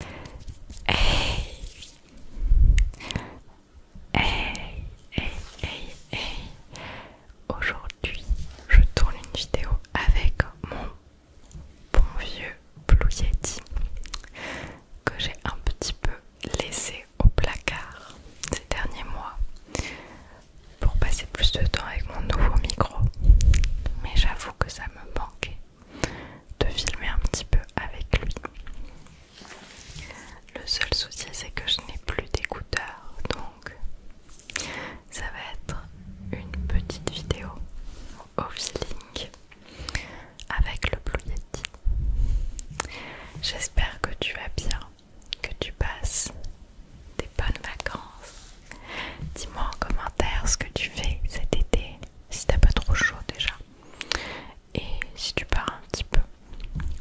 Hey Hey Hey Hey Hey Aujourd'hui je tourne une vidéo avec mon bon vieux Blue Yeti que j'ai un petit peu laissé au placard ces derniers mois pour passer plus de temps avec mon nouveau micro mais j'avoue que ça me manquait de filmer un petit peu avec lui. Le seul souci c'est que je n'ai plus d'écouteurs donc ça va être une petite vidéo au feeling avec le Blue J'espère que tu vas bien, que tu passes des bonnes vacances. Dis-moi en commentaire ce que tu fais cet été, si t'as pas trop chaud déjà. Et si tu pars un petit peu,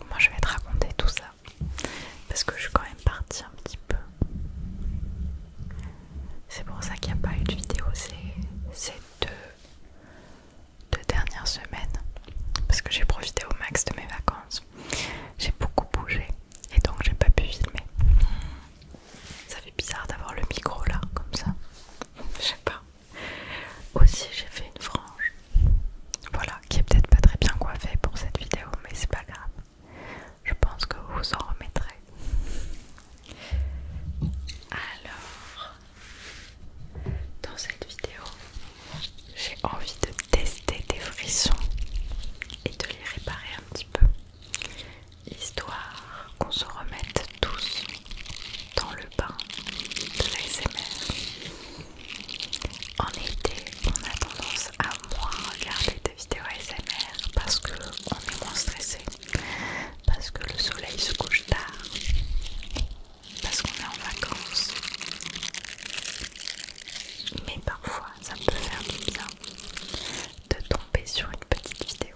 moi je vais te raconter tout ça parce que je suis quand même partie un petit peu. C'est pour ça qu'il n'y a pas eu de vidéo ces deux, deux dernières semaines parce que j'ai profité au max de mes vacances. J'ai beaucoup bougé et donc j'ai pas pu filmer. Ça fait bizarre d'avoir le micro là, comme ça. Je sais pas. Aussi, j'ai fait une frange. Voilà, qui est peut-être pas très bien coiffée pour cette vidéo, mais c'est pas grave. Je pense que vous en remettrez. Alors, dans cette vidéo, j'ai envie de tester des frissons et de les réparer un petit peu histoire qu'on se remette tous dans le bain de l'ASMR. En été, on a tendance à moins regarder des vidéos ASMR parce qu'on est moins stressé, parce que le soleil se couche tard, parce qu'on est en vacances. Mais parfois, ça peut faire du bien de tomber sur une petite vidéo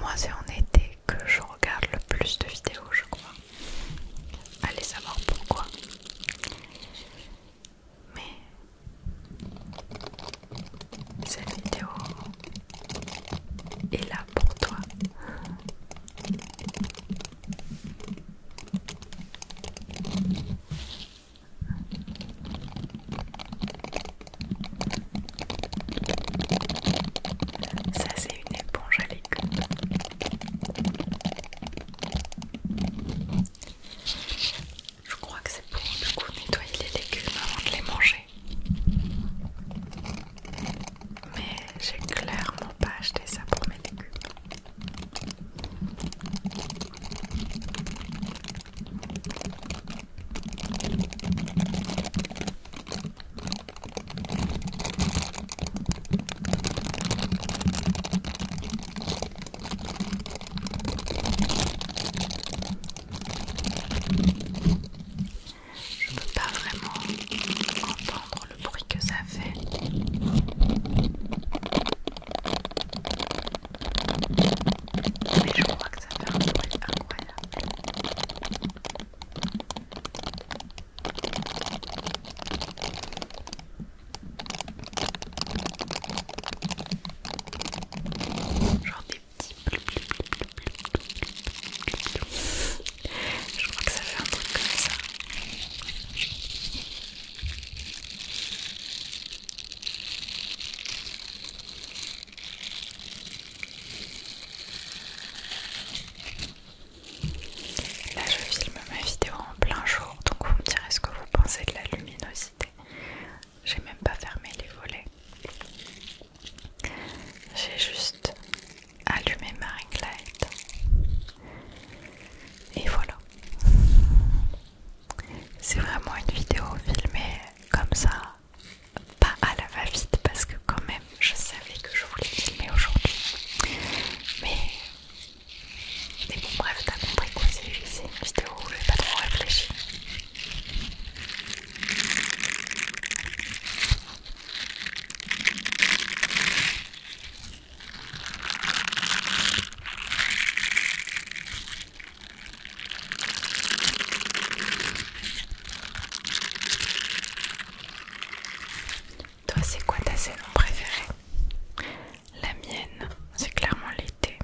moi, c'est en été que je regarde le plus de vidéos, je crois. Allez savoir pourquoi. Mais cette vidéo est là pour toi. Ça c'est une éponge à légumes Je crois que c'est pour du coup nettoyer les légumes avant de les manger. Mais j'ai clairement pas acheté ça pour mes légumes. Je ne peux pas vraiment entendre le bruit que ça fait. Mais je crois que ça fait un bruit incroyable. Genre des petits Je crois que ça fait un truc comme ça. Là, je filme ma vidéo en plein jour, donc vous me direz ce que vous pensez de la luminosité. J'ai même pas fermé les volets. J'ai juste allumé ma ring light. Et voilà. C'est vraiment une vidéo filmée comme ça, pas à la va-vite parce que quand même je savais que je voulais filmer aujourd'hui. Mais, bon bref, t'as compris quoi, c'est une vidéo où je n'ai pas trop réfléchi. Toi, c'est quoi ta saison préférée La mienne, c'est clairement l'été.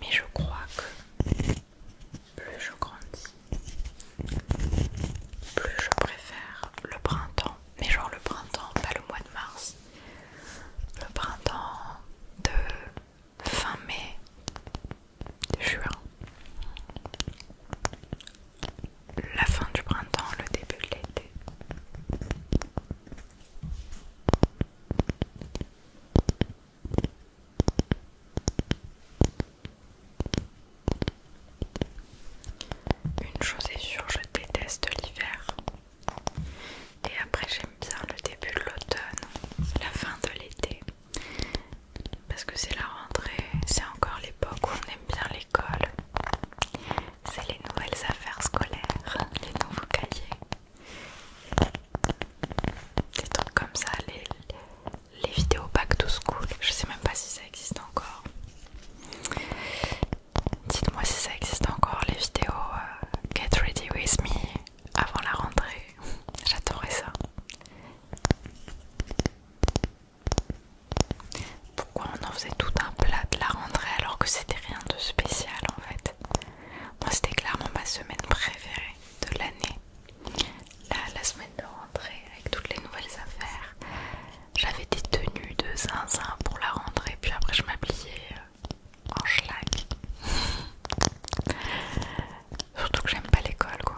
Mais je crois que plus je grandis, plus je préfère le printemps. Mais genre le printemps, pas le mois de mars le printemps de fin mai, juin, la fin du printemps, le début de l'été. Une chose est sûre, je déteste l'hiver. Et après j'aime bien le début de l'automne, la fin de l'été. Parce que c'est la rentrée, c'est encore l'époque où on aime bien l'école. C'est les nouvelles affaires scolaires, les nouveaux cahiers. Des trucs comme ça, les, les vidéos back to school. Je sais même pas si ça existe encore. Dites-moi si ça existe encore les vidéos euh, Get Ready With Me avant la rentrée. J'adorais ça. Pourquoi on en faisait tout un plat de la rentrée alors que c'était rien de spécial en fait Moi c'était clairement ma semaine préférée de l'année. La, la semaine de rentrée avec toutes les nouvelles affaires. J'avais des tenues de zinzin pour la rentrée puis après je m'habillais euh, en schlag. Surtout que j'aime pas l'école quoi.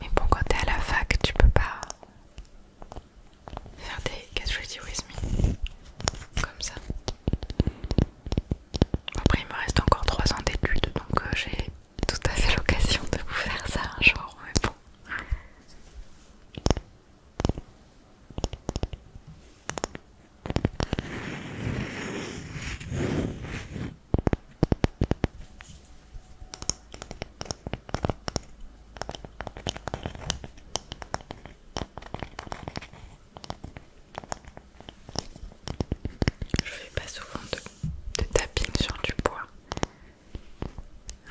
Mais bon quand t'es à la fac tu peux pas faire des Get Ready With Me comme ça. Après il me reste encore 3 ans d'études donc euh, j'ai tout à fait l'occasion de vous faire ça un jour, mais bon. Je fais pas souvent de, de sur du bois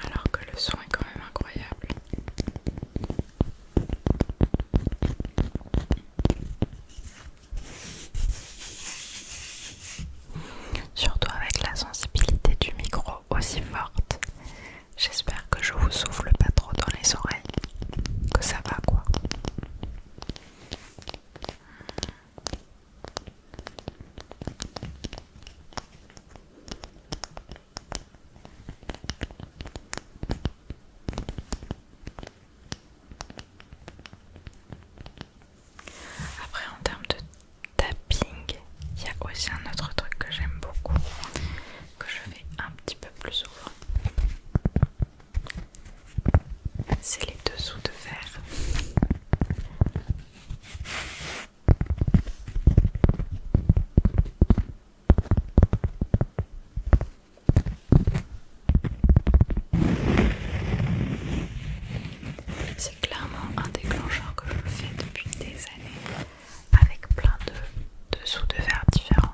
alors que le son est quand même incroyable. Surtout avec la sensibilité du micro aussi forte. J'espère que je vous souffle pas trop dans les oreilles. Que ça va quoi. Après, en termes de tapping, il y a aussi un autre truc que j'aime beaucoup, que je fais un petit peu plus souvent c'est les dessous de verre. C'est clairement un déclencheur que je fais depuis des années avec plein de dessous de verre différents.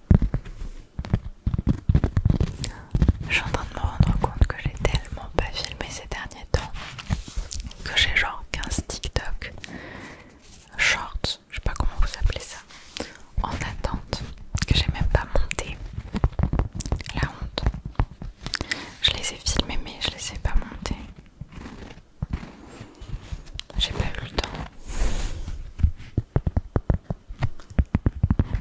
Je suis en train de me rendre compte que j'ai tellement pas filmé ces derniers temps que j'ai genre 15 TikTok shorts, je sais pas comment vous appelez ça, en attente, que j'ai même pas monté. La honte. Je les ai filmés mais je les ai pas montés. J'ai pas eu le temps.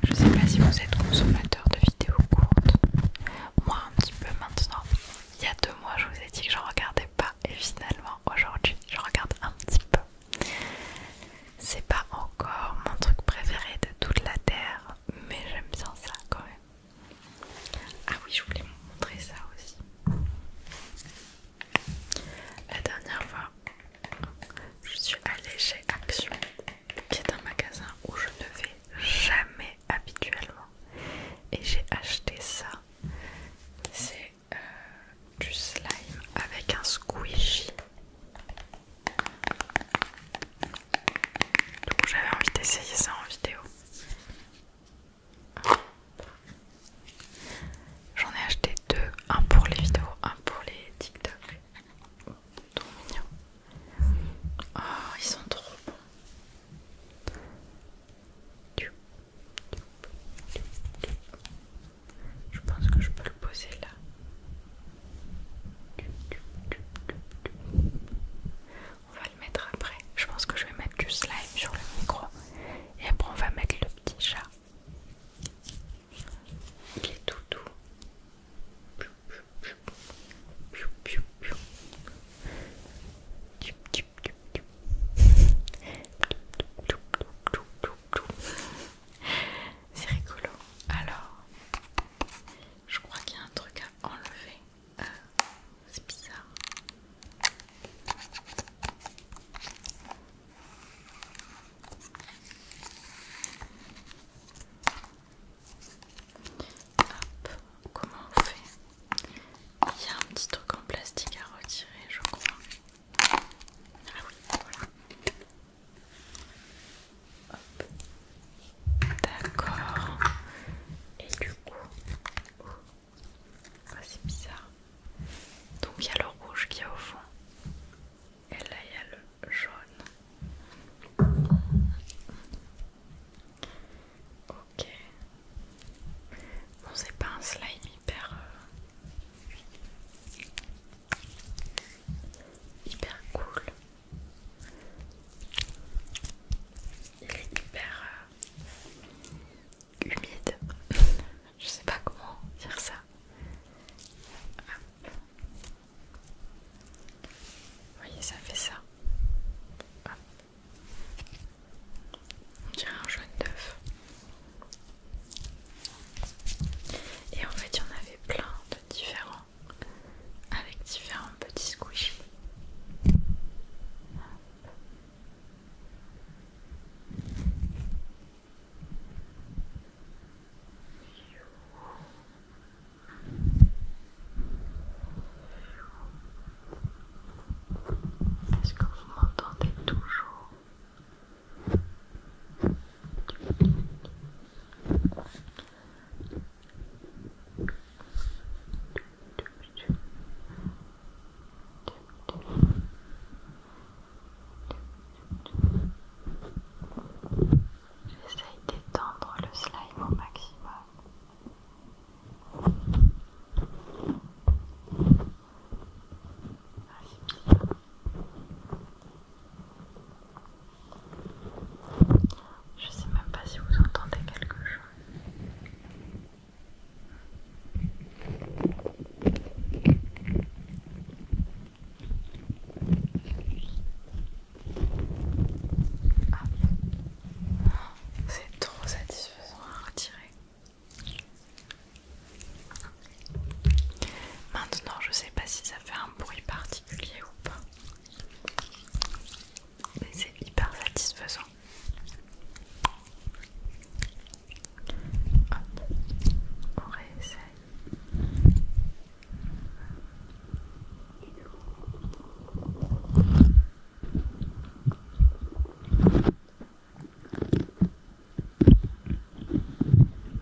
Je sais pas si vous êtes consommateur de vidéos courtes. Moi un petit peu maintenant. Il y a deux mois je vous ai dit que j'en regardais pas et finalement aujourd'hui je regarde un petit peu. C'est pas encore mon truc préféré de toute la terre, mais j'aime bien ça quand même. Ah oui, je voulais vous montrer ça aussi. La dernière fois, je suis allée chez Action, qui est un magasin où je ne vais jamais habituellement. Et j'ai acheté ça. C'est euh, du slime avec un squishy. donc j'avais envie d'essayer ça en vidéo. J'en ai acheté deux, un pour les vidéos, un pour les TikTok. Trop mignon. Ah, ils sont trop bons. Je pense que je peux le poser là. On va le mettre après. Je pense que je vais mettre du slime sur le micro. Et après on va mettre le petit chat. Il est tout doux. C'est rigolo. Alors, je crois qu'il y a un truc à enlever. Euh, c'est bizarre. Hop, comment on fait Il y a un petit truc en plastique à retirer, je crois. Ah oui, voilà. D'accord. Et du coup, oh, c'est bizarre. Donc il y a le rouge qui est au fond. Et là, il y a le jaune. Ok. Bon, c'est pas un slime hyper. Euh, hyper cool. Il est hyper euh, humide. Je sais pas comment dire ça voyez, ça fait ça. On dirait un jaune d'œuf. Et en fait, il y en avait plein de différents avec différents petits squish est-ce que vous m'entendez toujours J'essaye d'étendre le slime au maximum. je sais même pas si vous entendez quelque chose. Ah, c'est trop satisfaisant à retirer. Maintenant, je sais pas si ça fait un bruit particulier ou pas. Mais c'est hyper satisfaisant on réessaye.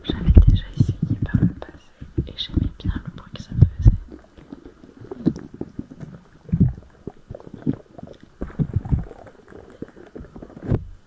J'avais déjà essayé par le passé et j'aimais bien le bruit que ça faisait.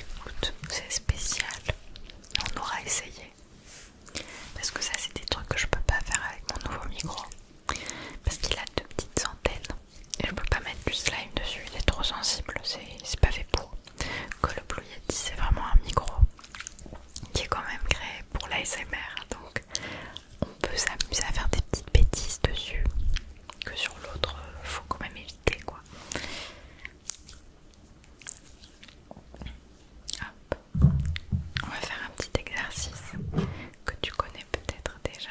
écoute, c'est spécial. On aura essayé. Parce que ça c'est des trucs que je peux pas faire avec mon nouveau micro. Parce qu'il a deux petites antennes. Et je peux pas mettre du slime dessus, il est trop sensible, c'est pas fait pour. Que le Blue Yeti c'est vraiment un micro qui est quand même créé pour l'ASMR. Donc on peut s'amuser à faire des petites bêtises dessus que sur l'autre euh, faut quand même éviter quoi on va faire un petit exercice que tu connais peut-être déjà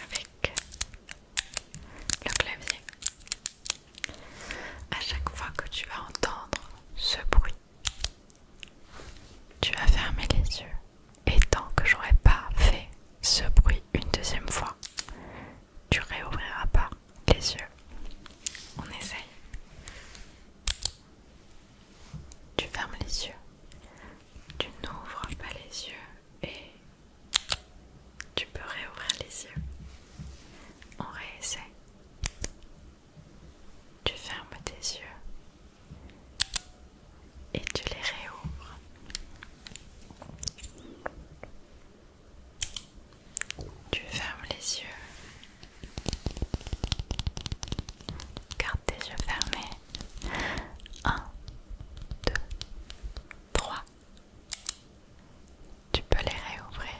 avec le clavier à chaque fois que tu vas entendre ce bruit, tu vas fermer les yeux. Et tant que j'aurai pas fait ce bruit une deuxième fois, tu réouvriras pas les yeux. On essaye. Tu fermes les yeux. Tu n'ouvres pas les yeux et tu peux réouvrir les yeux. On réessaie. Tu fermes tes yeux et tu les réouvres. Tu fermes les yeux. Garde tes yeux fermés. 1, 2, 3, tu peux les réouvrir.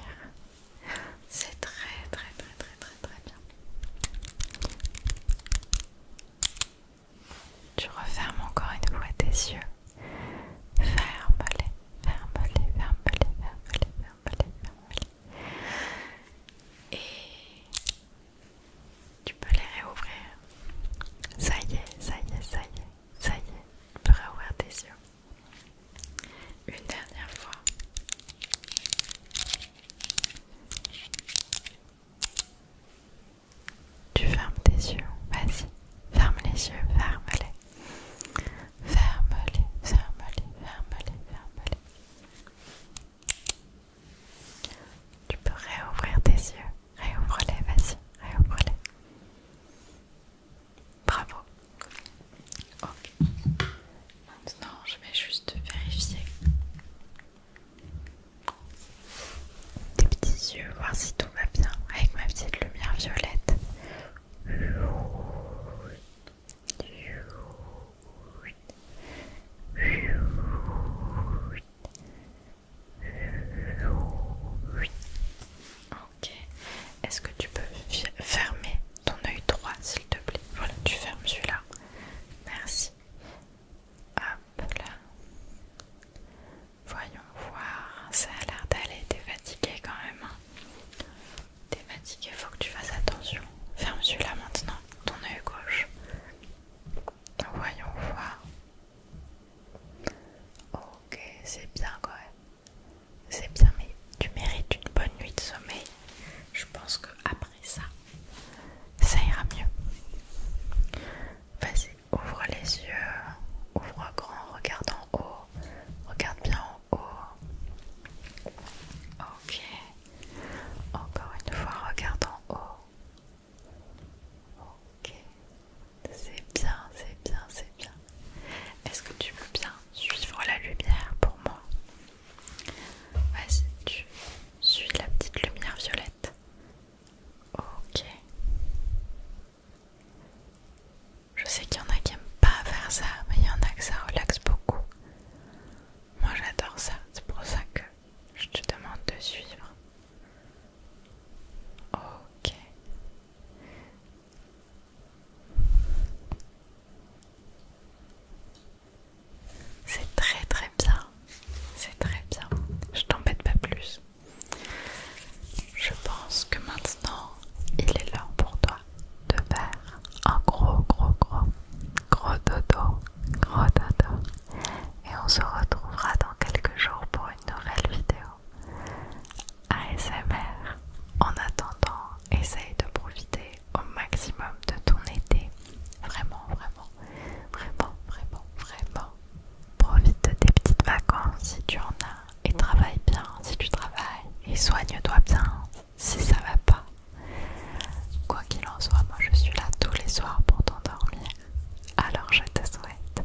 C'est très très très très très très bien. Tu refermes encore une fois tes yeux. Ferme-les, ferme-les, ferme-les, ferme-les, ferme-les, ferme-les. Et tu peux les réouvrir. Ça y est, ça y est, ça y est, ça y est. Tu peux réouvrir tes yeux. Une dernière fois. Tu fermes tes yeux, vas-y. Ferme les yeux, ferme-les. Ferme-les, ferme-les, ferme-les, ferme-les. Tu peux réouvrir tes yeux. Réouvre-les, vas-y, réouvre-les. Bravo. Ok. Maintenant, je vais juste vérifier des petits yeux, voir si tout va bien avec ma petite lumière violette. Ok. Est-ce que tu peux fermer ton œil droit, s'il te plaît Voilà, tu fermes celui-là. Merci. Hop là. Voyons voir. Ça a l'air d'aller. T'es fatigué quand même. Hein. T'es fatigué, faut que tu fasses attention. Ferme celui-là maintenant, ton œil gauche. Voyons voir. Ok, c'est bien quand même c'est bien, mais tu mérites une bonne nuit de sommeil. Je pense que après ça, ça ira mieux. Vas-y, ouvre les yeux, ouvre grand, regarde en haut, regarde bien en haut. Ok, encore une fois, regarde en haut. Ok, c'est bien, c'est bien, c'est bien. Est-ce que tu veux bien suivre la lumière pour moi Vas-y, tu suis la petite lumière violette. Ok. Je sais qu'il y en a qui n'aiment pas faire ça, mais il y en a que ça relaxe beaucoup. Moi j'adore ça, c'est pour ça que je te demande de suivre. Ok. C'est très très bien, c'est très bien. Je t'embête pas plus. Je pense que maintenant, il est l'heure pour toi de faire un gros gros gros gros dodo, gros dodo. Et on se retrouvera dans quelques jours pour une nouvelle vidéo. ASMR. En attendant, essaye de profiter au maximum de ton été. Vraiment, vraiment, vraiment, vraiment, vraiment. Profite de tes petites vacances si tu en as et travaille bien si tu travailles et soigne-toi bien si ça va pas. Quoi qu'il en soit, moi je suis là tous les soirs pour t'endormir. Alors je te souhaite